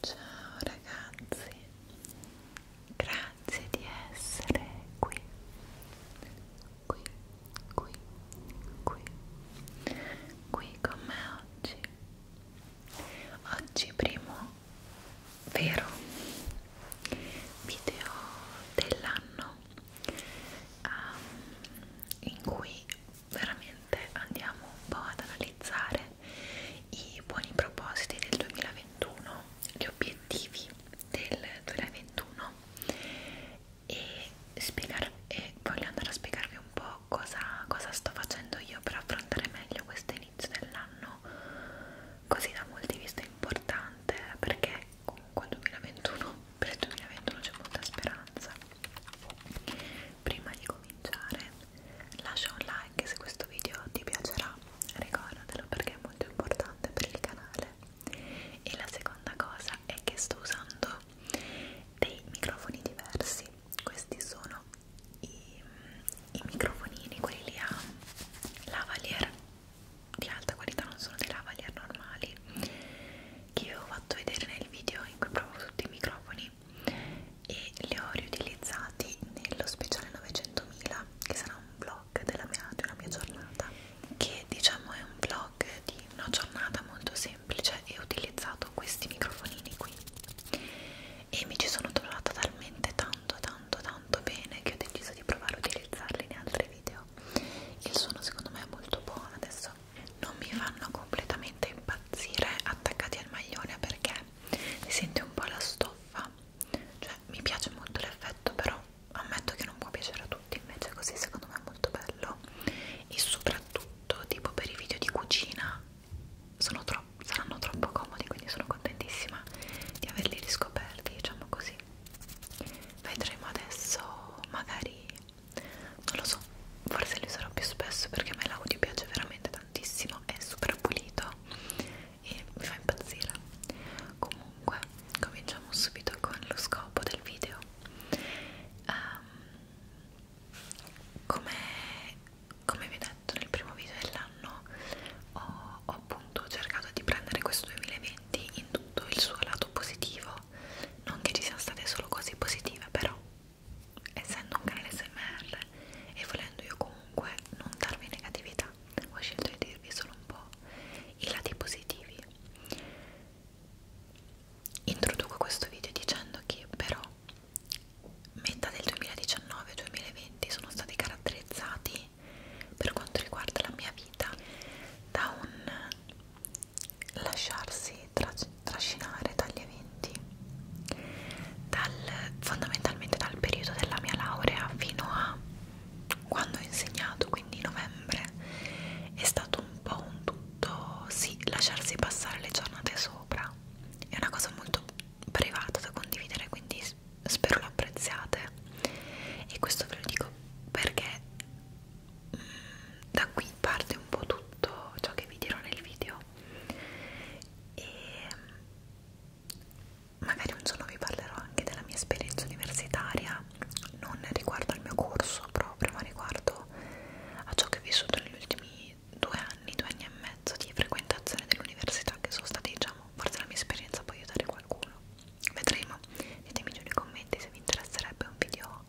Ciao ragazzi, grazie di essere qui, qui, qui, qui, qui con me oggi. Oggi primo vero video dell'anno um, in cui veramente andiamo un po' ad analizzare i buoni propositi del 2021, gli obiettivi del 2021 e, spiegar e voglio andare a spiegarvi un po' cosa, cosa sto facendo io per affrontare meglio questo inizio dell'anno così da molti vista importante perché comunque 2021, per il 2021 c'è molta speranza prima di cominciare lascia un like se questo video ti piacerà ricordatelo perché è molto importante per il canale e la seconda cosa è che sto usando dei microfoni diversi questi sono i, i microfonini quelli lì a lavalier di alta qualità non sono dei lavalier normali che vi ho fatto vedere nel video in cui provo tutti i microfoni e li ho riutilizzati nello speciale 900.000 che sarà un vlog della mia, della mia giornata che diciamo è un vlog di una giornata molto semplice e ho utilizzato questi microfonini qui e mi ci sono trovata talmente tanto tanto tanto bene che ho deciso di provare a utilizzarli in altri video il suono secondo me è molto buono adesso non mi fanno completamente impazzire attaccati al maglione perché si sente un po' la stoffa cioè mi piace molto l'effetto però ammetto che non può piacere a tutti invece così secondo me è molto bello e soprattutto tutto tipo per i video di cucina sono tro saranno troppo comodi quindi sono contentissima di averli riscoperti diciamo così vedremo adesso magari non lo so forse li userò più spesso perché a me l'audio piace veramente tantissimo è super pulito e mi fa impazzire comunque cominciamo subito con lo scopo del video um, come, come vi ho detto nel primo video dell'anno ho, ho appunto cercato di prendere questo 2020 in tutto il suo lato positivo non che ci siano state solo cose positive però essendo un canale smr e volendo io comunque non darvi negatività ho scelto di dirvi solo un po' i lati positivi Introduco questo video dicendo che però metà del 2019 e 2020 sono stati caratterizzati per quanto riguarda la mia vita da un lasciarsi tras trascinare dagli eventi, dal, fondamentalmente dal periodo della mia laurea fino a quando ho insegnato, quindi novembre, è stato un po' un molto sì, lasciarsi passare le giornate sopra è una cosa molto privata da condividere quindi spero lo apprezziate e questo ve lo dico perché mh, mm, da qui parte un po' tutto ciò che vi dirò nel video e mm, magari un giorno vi parlerò anche della mia esperienza universitaria non riguardo al mio corso proprio ma riguardo rispetto a ciò che ho vissuto negli ultimi due anni, due anni e mezzo di frequentazione dell'università che sono state diciamo, forse la mia esperienza può aiutare qualcuno vedremo, ditemi giù nei commenti se vi interesserebbe un video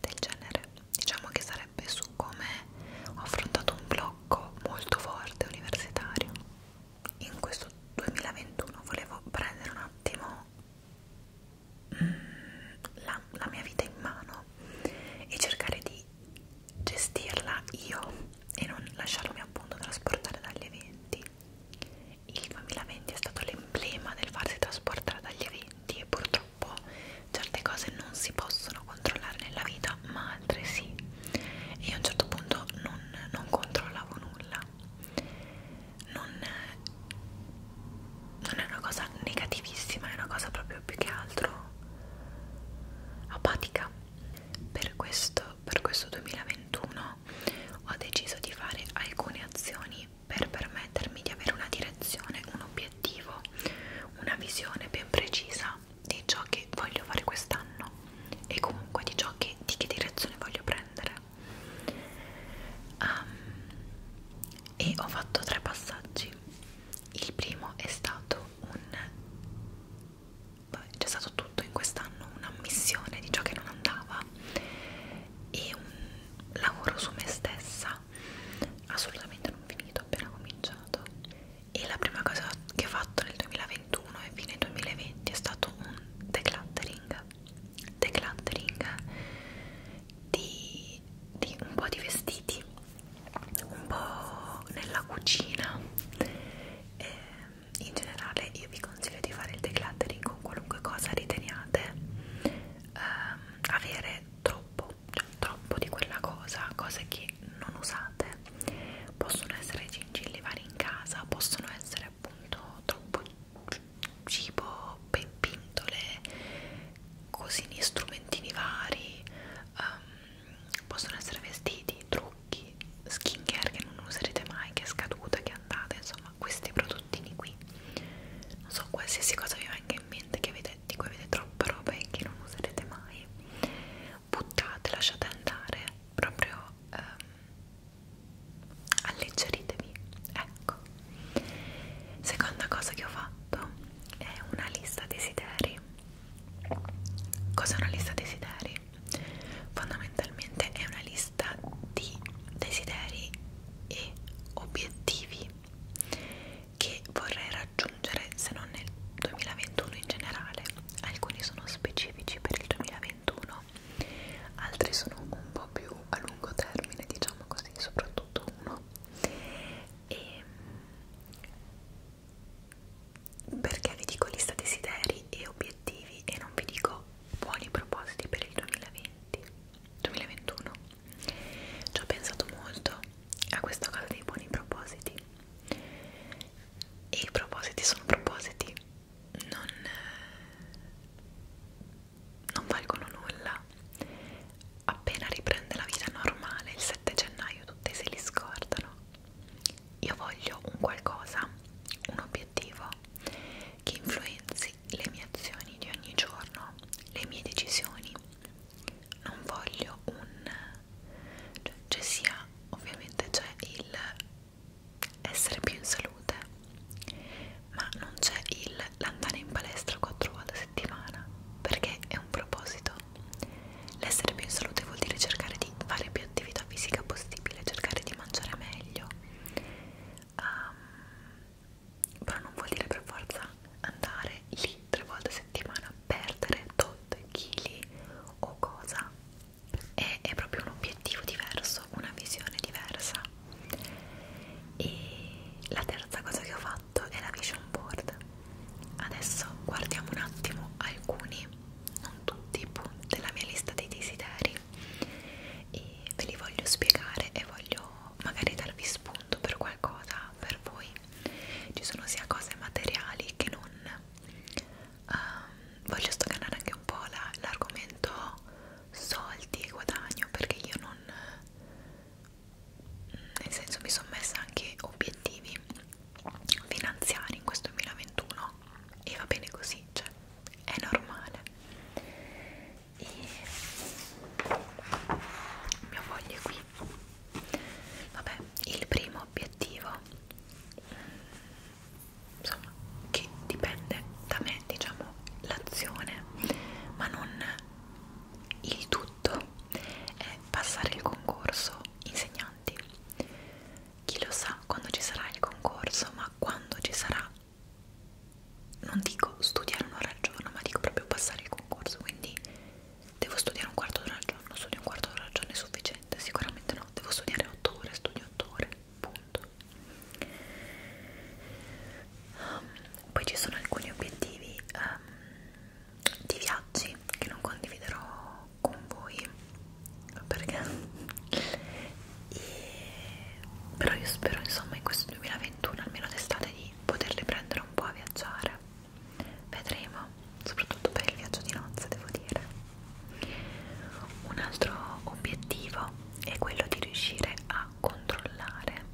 del genere diciamo che sarebbe su come ho affrontato un blocco molto forte universitario in questo 2021 volevo prendere un attimo la, la mia vita in mano e cercare di gestirla io e non lasciarmi appunto trasportare dagli eventi. Il 2020 è stato l'emblema del farsi trasportare dagli eventi e purtroppo certe cose non si possono controllare nella vita, ma altre sì. E io a un certo punto non, non controllavo nulla. Non non è una cosa negativissima, è una cosa proprio più che altro apatica. Per questo, per questo 2021 ho deciso di fare alcune azioni per permettermi di avere una direzione, un obiettivo, una visione ben precisa di ciò che voglio fare quest'anno e comunque di ciò che, di che direzione voglio prendere. Um, e ho fatto tre passaggi il primo è stato un c'è stato tutto in quest'anno un'ammissione di ciò che non andava e un lavoro su me stessa assolutamente non finito appena cominciato e la prima cosa che ho fatto nel 2021 e fine 2020 è stato un decluttering decluttering di quindi di un po' di vestiti un po' nella cucina e ehm, in generale io vi consiglio di fare il decluttering con qualunque cosa riteniate ehm, avere troppo cioè troppo di quella cosa cose che non usate possono essere gingilli vari in casa possono essere appunto troppo cibo pintole cosini, strumentini vari, um, possono essere vestiti, trucchi, skin care che non userete mai, che è scaduta, che è andata, insomma questi prodottini qui. Non so, qualsiasi cosa vi venga in mente che avete, di cui avete troppa roba e che non userete mai, buttate, lasciate andare, proprio um, alleggeritevi. Ecco. Seconda cosa che ho fatto è una lista desideri. Cos'è una lista desideri? Fondamentalmente è una lista di desideri e obiettivi che vorrei raggiungere se non nel 2021 in generale. Alcuni sono specifici per il 2021, altri sono un po' più a lungo termine, diciamo così, soprattutto uno e perché vi dico lista desideri e obiettivi e non vi dico buoni propositi per il 2020 2021 ci ho pensato molto a questa cosa dei buoni propositi e i propositi sono propositi non, non valgono nulla Appena riprende la vita normale il 7 gennaio tutti se li scordano. Io voglio un qualcosa, un obiettivo che influenzi le mie azioni di ogni giorno, le mie decisioni. Non voglio un... cioè ci sia, ovviamente c'è cioè, il essere più in salute, ma non c'è il l'andare in palestra 4 volte a settimana, perché è un proposito. L'essere più in salute vuol dire cercare di fare più attività fisica possibile, cercare di mangiare meglio. Um, però non vuol dire per forza andare lì tre volte a settimana a perdere tot chili o cosa. È, è proprio un obiettivo diverso, una visione diversa. E la terza cosa che ho fatto fatto è la vision board adesso guardiamo un attimo alcuni non tutti punti della mia lista dei desideri e ve li voglio spiegare e voglio magari darvi spunto per qualcosa per voi ci sono sia cose materiali che non um, voglio stoccare anche un po' l'argomento la, soldi e guadagno perché io non nel senso mi sono messa anche obiettivi finanziari in questo 2021 e va bene così, cioè è normale e mio foglio è qui vabbè, il primo obiettivo insomma, che dipende da me, diciamo, l'azione ma non il tutto è passare il concorso insegnanti. Chi lo sa quando ci sarà il concorso, ma quando ci sarà, non dico studiare un'ora al giorno, ma dico proprio passare il concorso, quindi devo studiare un quarto d'ora al giorno, studio un quarto d'ora al giorno è sufficiente, sicuramente no, devo studiare 8 ore, studio 8 ore, punto. Um, poi ci sono alcuni obiettivi um, di viaggi che non condividerò con voi perché e... però io spero insomma in questo 2021 almeno d'estate di poterli prendere un po' a viaggiare vedremo soprattutto per il viaggio di nozze devo dire un altro obiettivo è quello di riuscire a controllare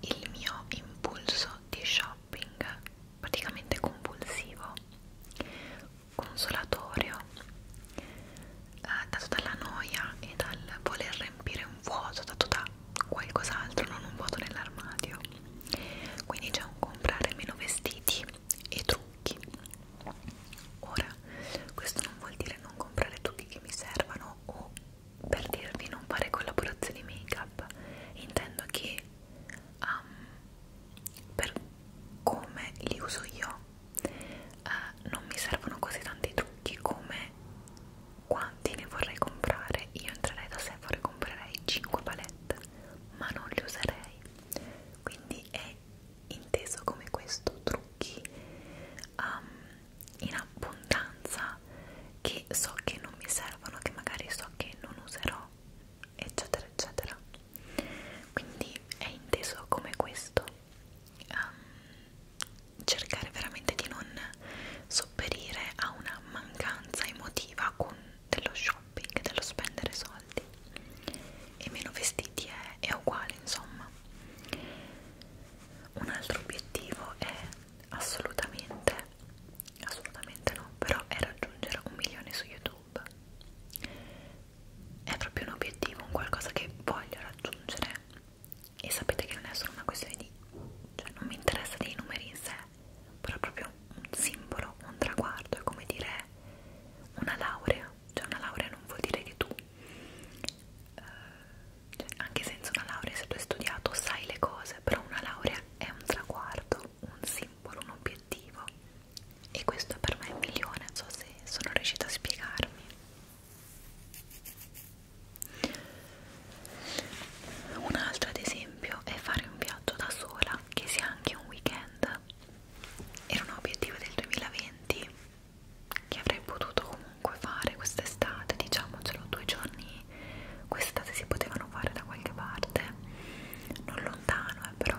il mio impulso di shopping praticamente compulsivo, consolatorio, eh, dato dalla noia e dal voler riempire un vuoto dato da qualcos'altro, non un vuoto nell'armadio. Quindi c'è un comprare meno vestiti e trucchi. Ora, questo non vuol dire non comprare trucchi che mi servano o per dirvi non fare collaborazioni make-up. Intendo che quindi um, per come li uso io uh, non mi servono così tanti trucchi come quanti ne vorrei comprare io entrerei da Sephora e comprerei 5 palette ma non li userei quindi è inteso come questo trucchi um, in abbondanza cosa che so che non mi servono, che magari so che non userò, eccetera, eccetera. Quindi è inteso come questo: um, cercare veramente di non sopperire a una mancanza emotiva con dello shopping, dello spendere soldi e meno vestiti è, è uguale insomma un altro obiettivo è assolutamente assolutamente no però è raggiungere un milione su youtube è proprio un obiettivo un qualcosa che voglio raggiungere e sapete che non è solo una questione di cioè non mi interessa dei numeri in sé però è proprio un simbolo un traguardo è come dire una laurea cioè una laurea non vuol dire che tu eh, cioè, anche senza una laurea se tu hai studiato sai le cose però una laurea è un traguardo un simbolo, un obiettivo e questo per me è un milione, so se sono riuscita a spiegarmi. Un altro ad esempio è fare un viaggio da sola, che sia anche un weekend. Era un obiettivo del 2020 che avrei potuto comunque fare quest'estate, diciamocelo due giorni quest'estate si potevano fare da qualche parte non lontano eh, però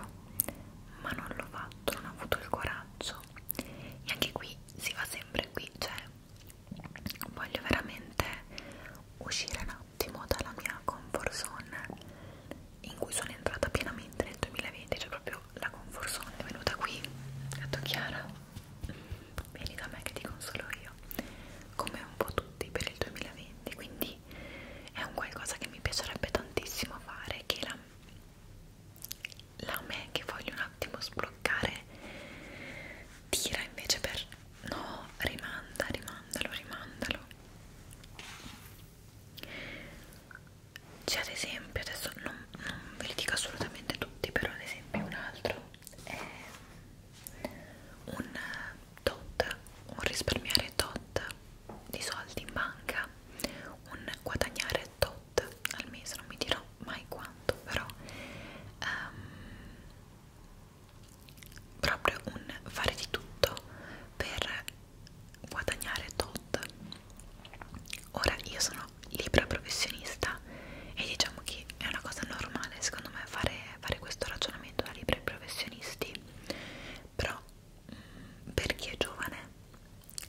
ma non l'ho fatto non ho avuto il coraggio e anche qui si va sempre qui cioè voglio veramente uscire un attimo dalla mia comfort zone in cui sono entrata pienamente nel 2020 cioè proprio la comfort zone è venuta qui ho detto Chiara vieni da me che ti consolo io come un po' tutti per il 2020 niente quindi è un qualcosa che mi piacerebbe tantissimo fare che la, la me che voglio un attimo sbloccare tira invece per no rimanda rimandalo rimandalo c'è cioè, ad esempio adesso non, non ve li dico assolutamente tutti però ad esempio un altro è un eh, tot, un risparmiare tot di soldi in banca, un guadagnare tot al mese, non mi dirò mai quanto, però um, proprio un fare di tutto per guadagnare tot. Ora io sono libera professionista e diciamo che è una cosa normale secondo me fare fare questo ragionamento da libri professionisti però mh, mm, per chi è giovane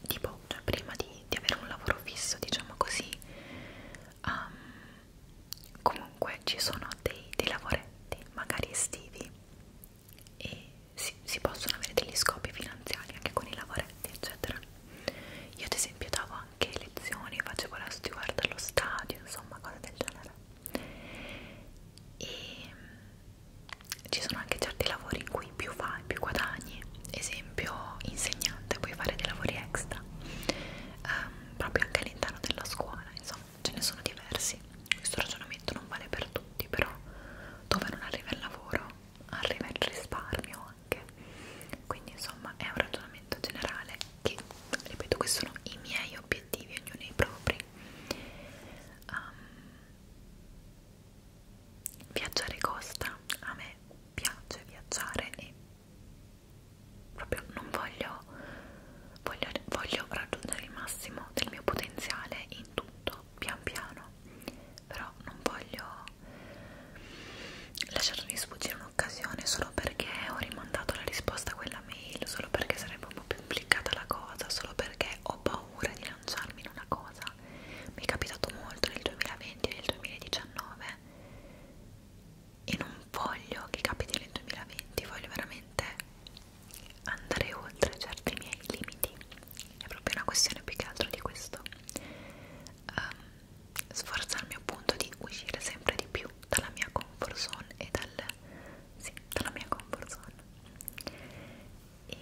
tipo cioè prima di, di avere un lavoro fisso diciamo così um, comunque ci sono dei, dei lavoretti magari estivi e si, si possono avere degli scopi finanziari anche con i lavoretti eccetera io ad esempio davo anche lezioni facevo la steward allo stadio insomma cose del genere e mm, ci sono anche certi lavori in cui più fai, più guadagni, esempio insegnante, puoi fare dei lavori extra ehm, proprio anche all'interno della scuola, insomma ce ne sono diversi, questo ragionamento non vale per tutti, però dove non arriva il lavoro arriva il risparmio anche, quindi insomma è un ragionamento generale che ripeto questi sono i miei obiettivi ognuno i propri um, viaggiare costa a me piace viaggiare e proprio non voglio, voglio voglio raggiungere il massimo del mio potenziale in tutto pian piano però non voglio lasciarmi sfuggire un'occasione solo perché ho rimandato la risposta a quella mail solo perché sarebbe un po' più complicata la cosa solo perché ho paura di lanciarmi in una cosa mi è capitato molto nel 2020 e nel 2019 e non voglio che capiti nel 2020 voglio veramente andare oltre certi miei limiti è proprio una questione più che altro di questo um, sforzarmi appunto di uscire sempre di più dalla mia comfort zone e dal sì, dalla mia comfort zone e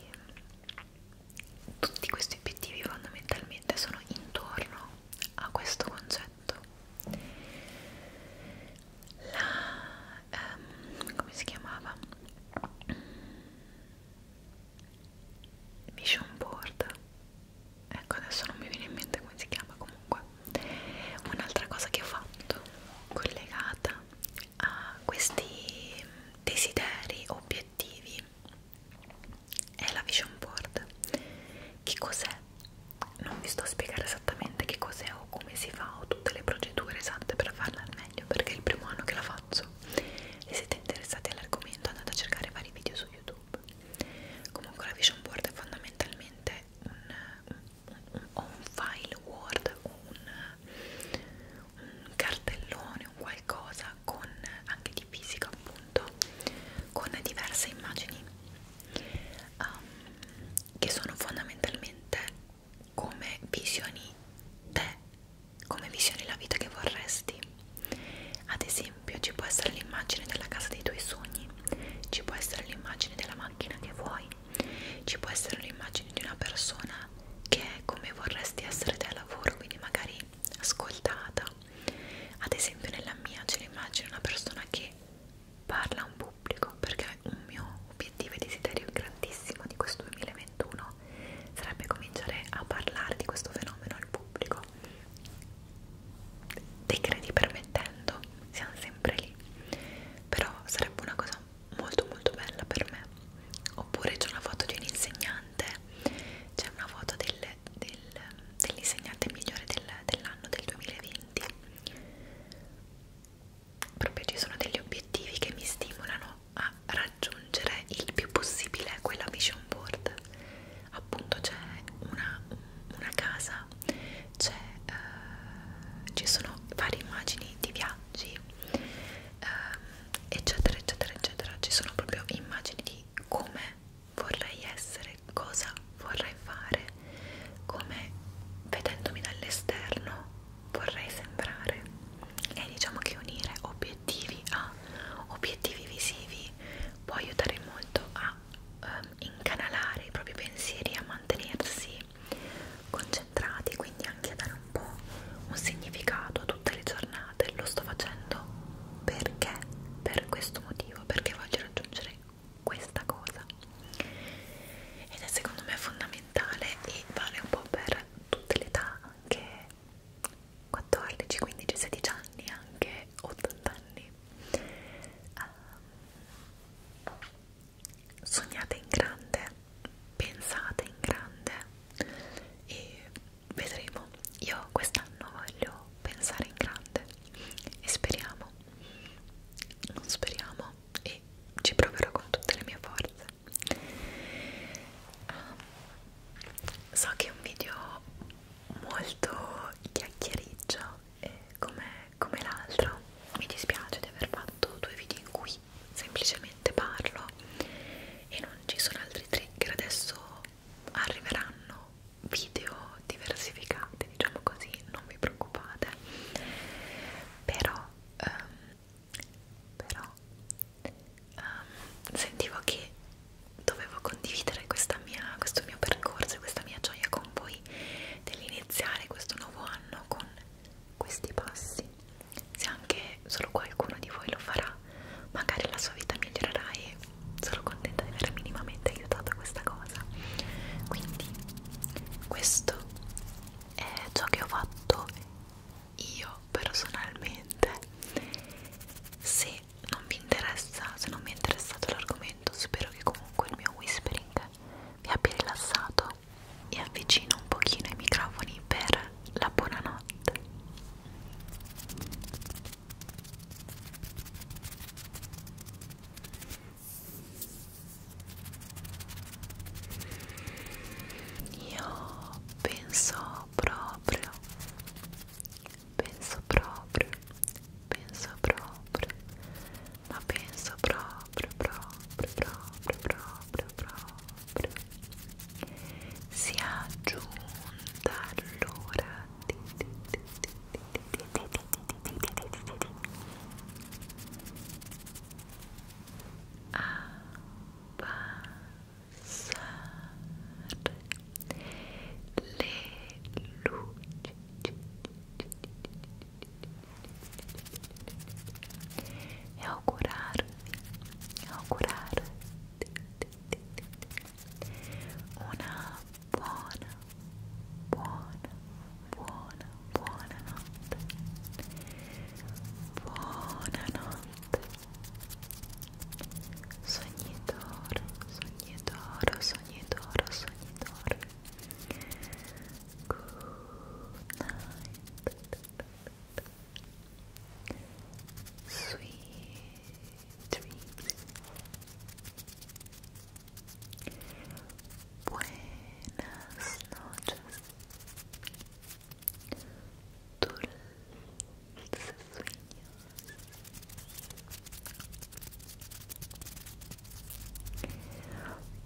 tutti questi obiettivi fondamentalmente sono intorno a questo concetto la um, come si chiamava vision board ecco adesso non mi viene in mente come si chiama comunque Un'altra cosa che ho fatto collegata a questi desideri, obiettivi è la vision board. Che cos'è? Non vi sto a spiegare esattamente che cos'è o come si fa o tutte le procedure esatte per farla al meglio perché è il primo anno che la faccio. Se siete interessati all'argomento andate a cercare vari video su YouTube. Comunque la vision board è fondamentalmente un, o un file Word o un, un cartellone, un qualcosa con anche di fisica appunto con diverse immagini um, che sono fondamentalmente come visioni te, come visioni la vita che vorresti. Ad esempio ci può essere l'immagine della casa dei tuoi sogni, ci può essere l'immagine della macchina che vuoi, ci può essere l'immagine di una persona che è come vorresti essere te al lavoro, quindi magari ascoltata. Ad esempio nella mia c'è l'immagine di una persona che parla a un pubblico, perché un mio obiettivo e desiderio grandissimo di questo 2021 sarebbe cominciare a parlare di questo fenomeno al pubblico. Dei credi permettendo, siamo sempre lì però sarebbe una cosa molto molto bella per me oppure c'è una foto di un insegnante c'è una foto del, del, dell'insegnante migliore del, dell'anno del 2020 proprio ci sono degli obiettivi che mi stimolano a raggiungere il più possibile quella vision board appunto c'è una, una casa eh, ci sono varie immagini di viaggi eh, eccetera eccetera eccetera ci sono proprio immagini di come vorrei essere cosa vorrei fare come vedendomi dall'esterno vorrei sembrare e diciamo che unire obiettivi a obiettivi visivi può aiutare molto a um, incanalare i propri pensieri a mantenersi concentrati quindi anche a dare un po' un significato a tutte le giornate lo sto facendo perché per questo motivo perché voglio raggiungere questa cosa ed è secondo me fondamentale e vale un po' per tutte le età anche 14 15 16 anni anche 80 anni um, sognate in grande, pensate in grande e vedremo. Io quest'anno voglio pensare in grande e speriamo, non speriamo e ci proverò con tutte le mie forze. Ah, so che è un video molto chiacchiericcio, come come l'altro mi dispiace di aver fatto due video in cui semplicemente parlo e non ci sono altri trigger adesso arriveranno video diversificati diciamo così non vi preoccupate però um, però um, sentivo che dovevo condividere questa mia, questo mio percorso e questa mia gioia con voi dell'iniziare questo nuovo anno con questi passi se anche solo qualcuno di voi lo farà magari la sua vita migliorerà e sono contenta di aver minimamente aiutato questa cosa quindi questo è ciò che ho fatto io personalmente se non vi interessa se non vi è interessato l'argomento spero che comunque il mio whispering vi abbia rilassato e avvicino un pochino i microfoni per la buonanotte io penso proprio penso proprio penso proprio ma penso proprio, proprio, proprio, proprio, proprio sia giunta l'ora di, di, di, di, di, di, di, di, di, di, di. abbassare le luci Ao curar, ao una buona, buona, buona, buona notte. Buona notte. Sognatore, sognatore, sognatore, sognatore. Good night. Sweet dreams. Buenas noches. Dulces sueños.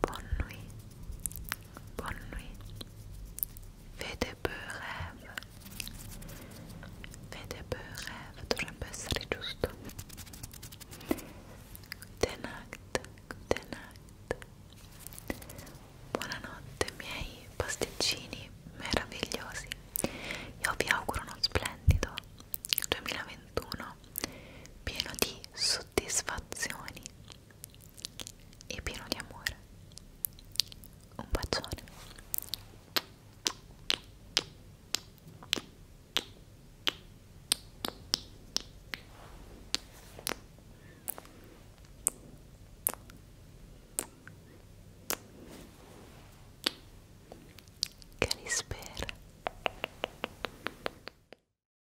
Bonne nuit, bonne nuit, fais dei beaux rêves, fais dei beaux rêves, dovrebbe essere giusto. Good night, good night. Buonanotte miei pasticcini meravigliosi, io vi auguro uno splendido 2021 pieno di soddisfazioni e pieno di amore. Un bacione. Che li spera.